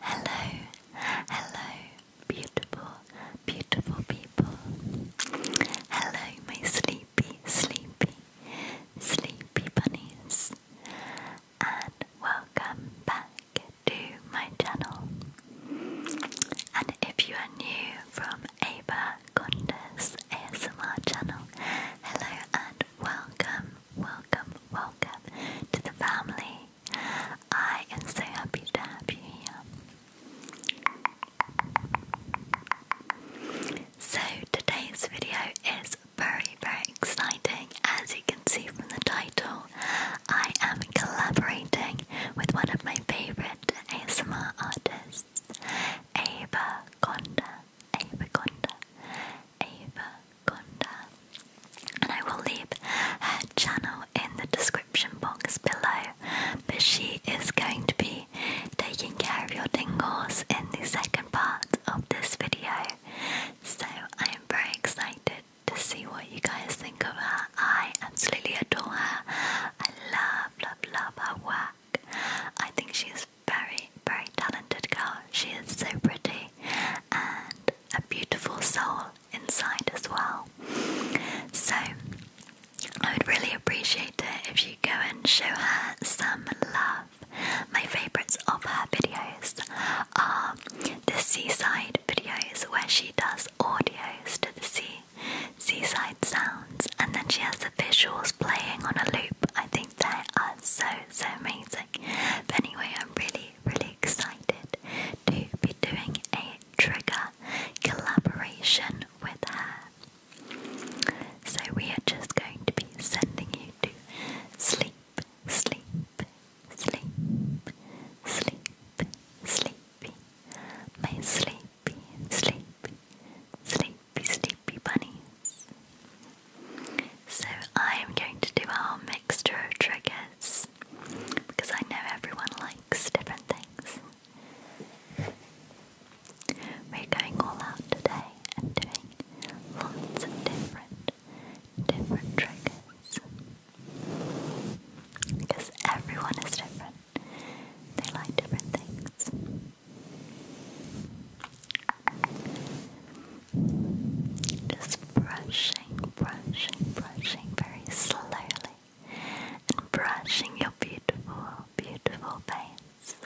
Hello, hello, beautiful, beautiful people. Hello, my sleepy, sleepy, sleepy bunnies, and welcome back to my channel. And if you are new from Ava Condes ASMR channel, hello and welcome welcome, welcome to the family. I am so happy to have you here. So, today's video is very, very exciting. As you can see from the title, I am collaborating with one of my favorite ASMR artists, Ava Conda. Avaconda, Avaconda. And I will leave her channel in the description box below. But she is going to be taking care of your tingles in the second part of this video. So I am very excited to see what you guys think of her. I absolutely adore her. I love, love, love her work. I think she is very, very talented girl. She is so pretty and a beautiful soul inside as well. So I would really appreciate it if you go and show her some love. My favourites of her videos are the seaside videos where she does audios to the sea, seaside sounds, and then she has the visuals playing on a loop. I think they are so so amazing. But anyway, I'm really, really excited to be doing a trigger collaboration with her. So we are just going to be sending you to sleep, sleep, sleep, sleep, sleepy, my sleepy, sleep, sleep, sleepy, sleepy bunnies. So I'm going to do our mixture of triggers because I know everyone likes different things. We're going all out today and doing lots of different, different triggers because everyone is different. They like different things. Just brushing, brushing, brushing very slowly and brushing your beautiful, beautiful face.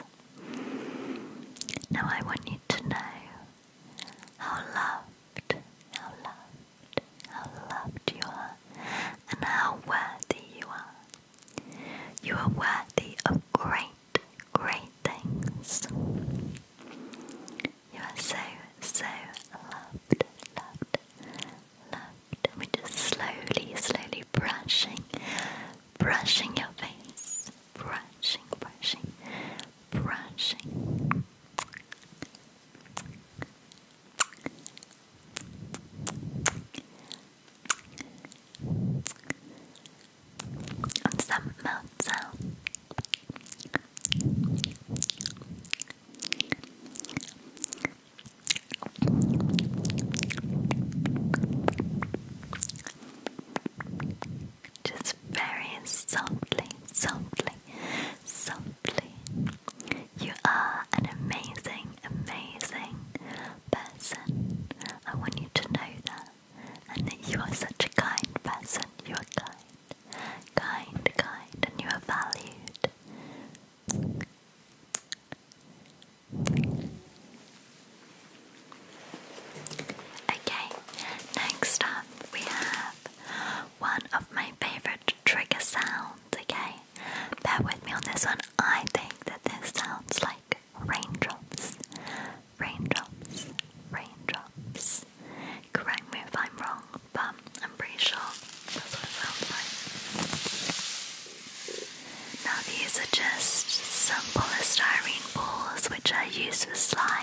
Now I want you to know how loved, how loved, how loved you are and how worthy you are. You are worthy of great, great things. You are so, so loved, loved, loved. And we just slowly, slowly brushing, brushing your face, brushing, brushing, brushing. Und some mouth Just very softly, softly, softly. You are an amazing, amazing person person. I want you to know that. And that you are such a kind person. You are kind. Kind, kind, and you are valued. Okay, next up we have one of my favorite trigger sounds. Okay, bear with me on this one. I think that this sounds like raindrops, raindrops, raindrops. Correct me if I'm wrong, but I'm pretty sure that's what it sounds like. Now, these are just some polystyrene balls which I use for slime.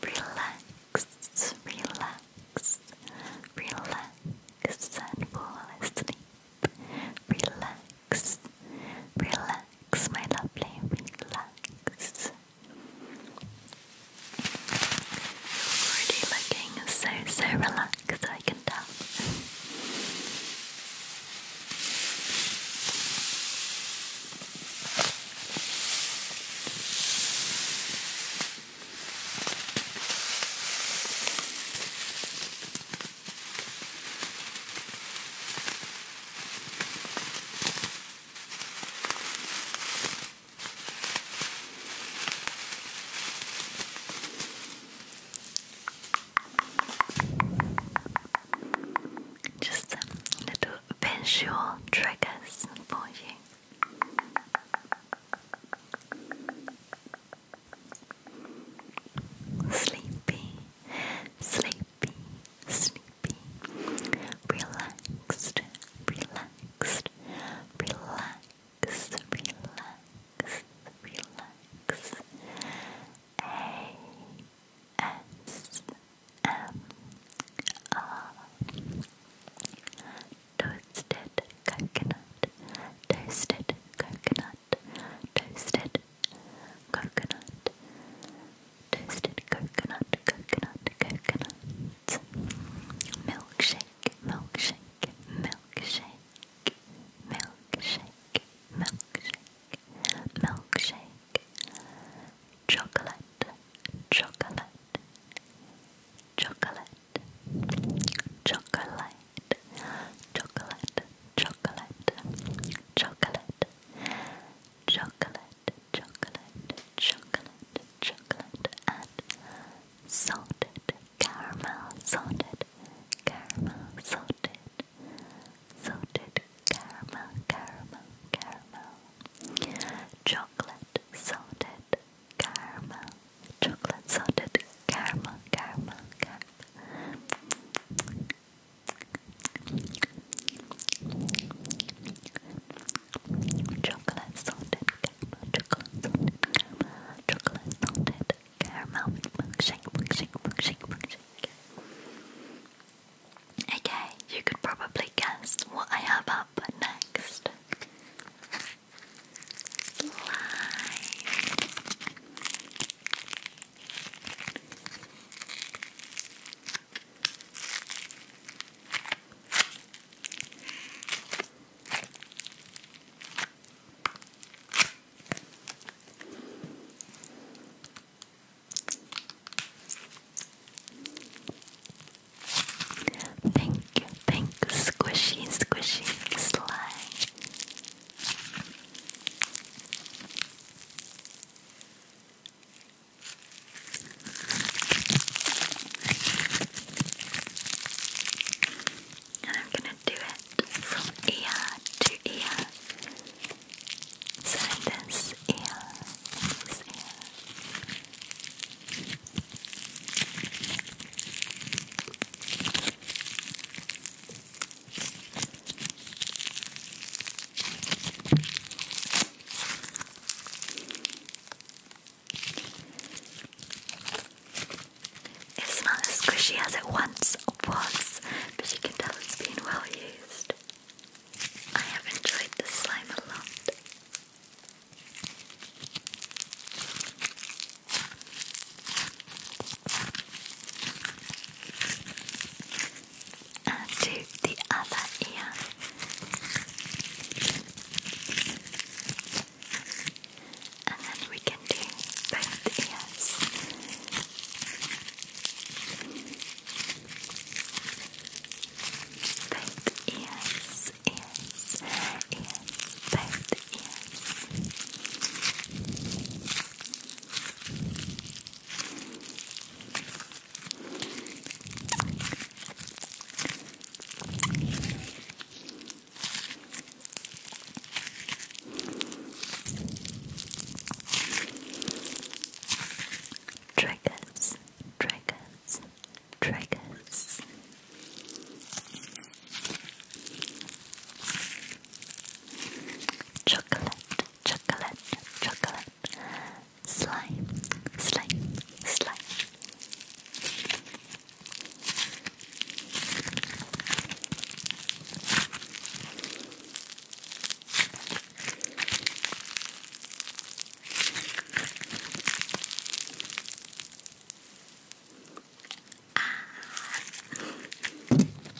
Relax, relax, relax and fall Relax, relax, my lovely, relax, already looking so, so relaxed, I can tell. Just little visual triggers for you. Sleepy, sleepy, sleepy, sleepy, relaxed, relaxed, relaxed, relax, relax. A S M R Toasted coconut, toasted coconut, toasted coconut toasted coconut, coconut, coconut, milkshake, milkshake, milkshake, milkshake, milkshake, milkshake, chocolate, chocolate, chocolate, chocolate, chocolate, chocolate, chocolate. Chocolate, chocolate, chocolate, chocolate, and salted caramel, salted caramel, salted, salted caramel, caramel, caramel, chocolate, salted caramel, chocolate, salted caramel, caramel, caramel. Chocolate salted caramel, chocolate salted caramel, chocolate salted caramel. Milkshake, milkshake, milkshake, milkshake. Okay, you could probably guess what I have up next. Slime. Thank you, squishy, squishy, slime. And I'm going to do it from ear to ear. So ear, this ear. It's not as squishy as it once was, but you can tell it's been well used. I have enjoyed this slime a lot and to the other ear. And then we can do both ears. Both ears, ears, ears, both ears. Triggers, triggers, triggers. Chocolate, chocolate, chocolate, slime, slime, slime. Ah.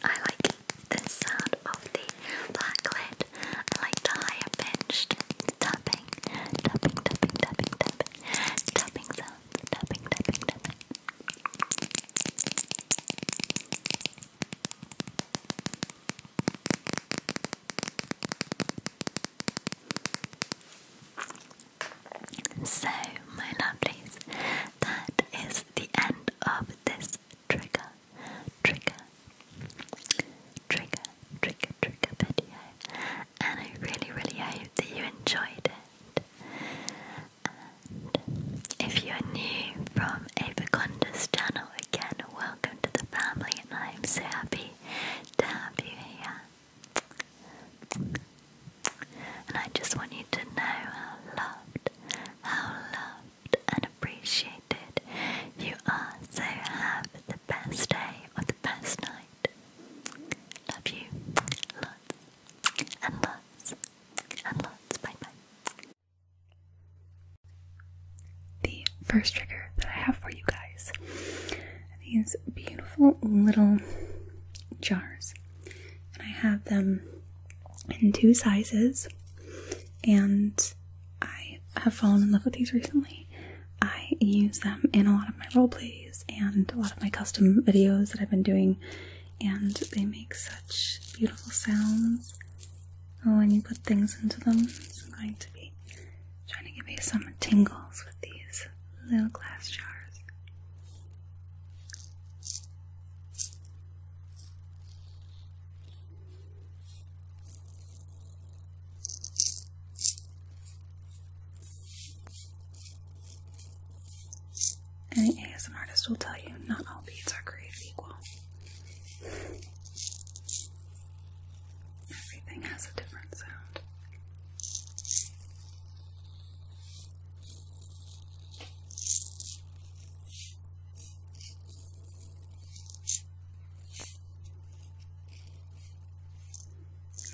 I like the sound of the black lid. I like the higher pitched tapping, tapping, tapping, tapping, tapping, tapping Tapping, tapping, tapping. So, my lovelies, that is the end of this trigger, trigger, trigger, trigger, trigger video and I really, really hope that you enjoyed it. And if you're new from Avaconda's channel, again, welcome to the family, and I'm so happy to have you here. And I just want you to know how loved, how loved and appreciated you are. So have the best day or the best night night. Love you lots and lots and lots. Bye bye. The first trigger that I have for you guys are these beautiful little jars, and I have them in two sizes, and I have fallen in love with these recently. I use them in a lot of my roleplays and a lot of my custom videos that I've been doing, and they make such beautiful sounds oh, when you put things into them. I'm going to be trying to give you some tingles with these little glass jars. Any ASM artist will tell you not all beads are created equal. Everything has a different sound.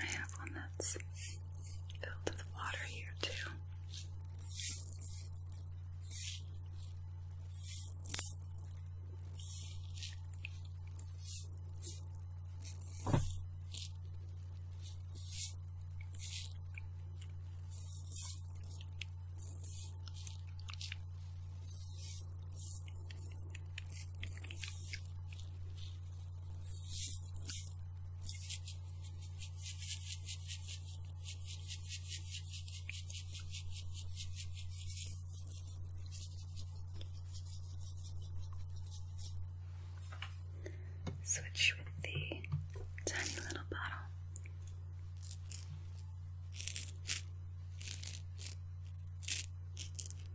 And I have one that's filled with water here too. Switch with the tiny little bottle.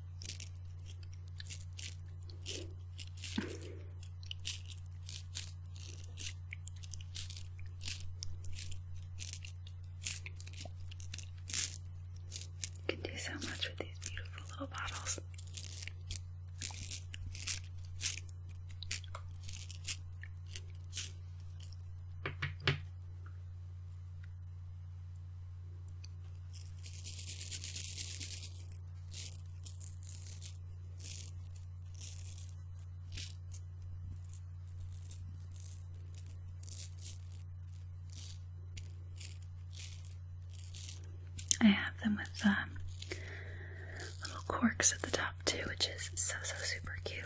You can do so much with these beautiful little bottles. I have them with um, little corks at the top too, which is so so super cute.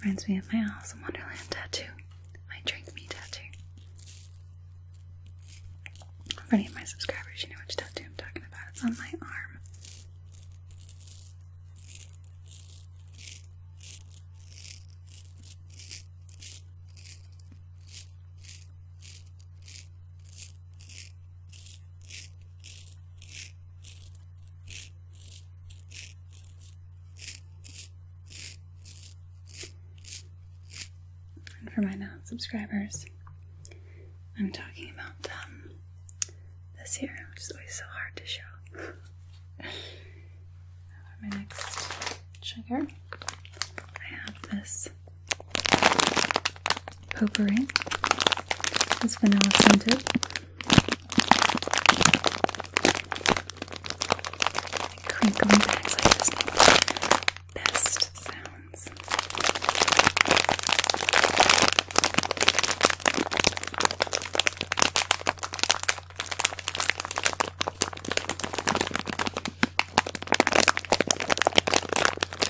Reminds me of my Alice in Wonderland tattoo, my Drink Me tattoo. For any of my subscribers, you know which tattoo I'm talking about. It's on my arm. And for my non-subscribers, I'm talking about this here, which is always so hard to show. for my next trigger, I have this potpourri. It's vanilla scented. Crinkling bags best sounds.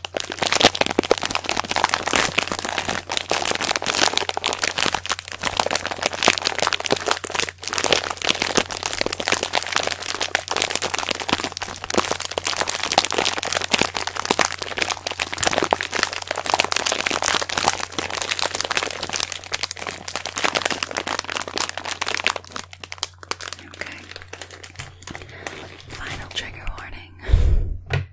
Okay. Final trigger warning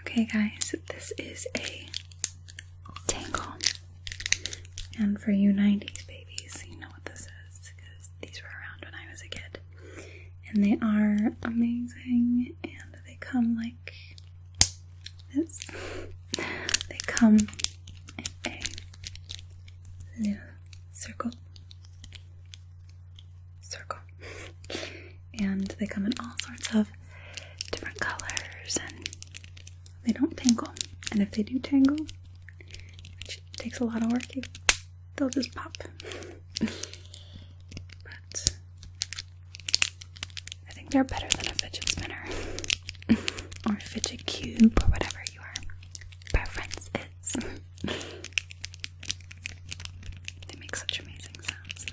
okay, guys, this is a tangle. And for you 90s babies, you know what this is because these were around when I was a kid. And they are amazing, and they come like this. They come in a little circle circle. and they come in all sorts of different colors and they don't tangle. And if they do tangle, which takes a lot of work, they'll just pop. but I think they're better than a fidget spinner or fidget cube or whatever your preference is. They make such amazing sounds though.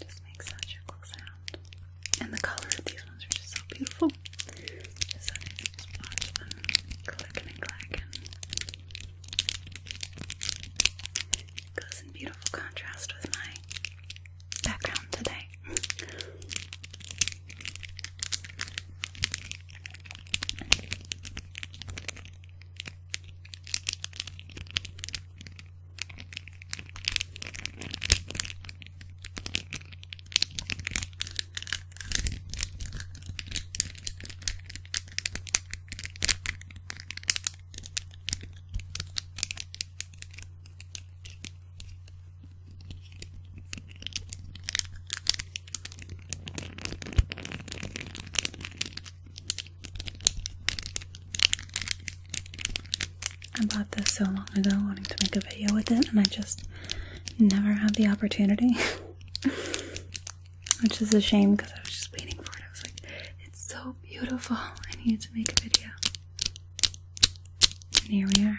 Just makes such a cool sound. And the color of these ones are just so beautiful. Just watch them clicking and clacking goes in beautiful contrast with my background today. I bought this so long ago wanting to make a video with it and I just never had the opportunity. Which is a shame because I was just waiting for it. I was like, it's so beautiful. I needed to make a video. And here we are.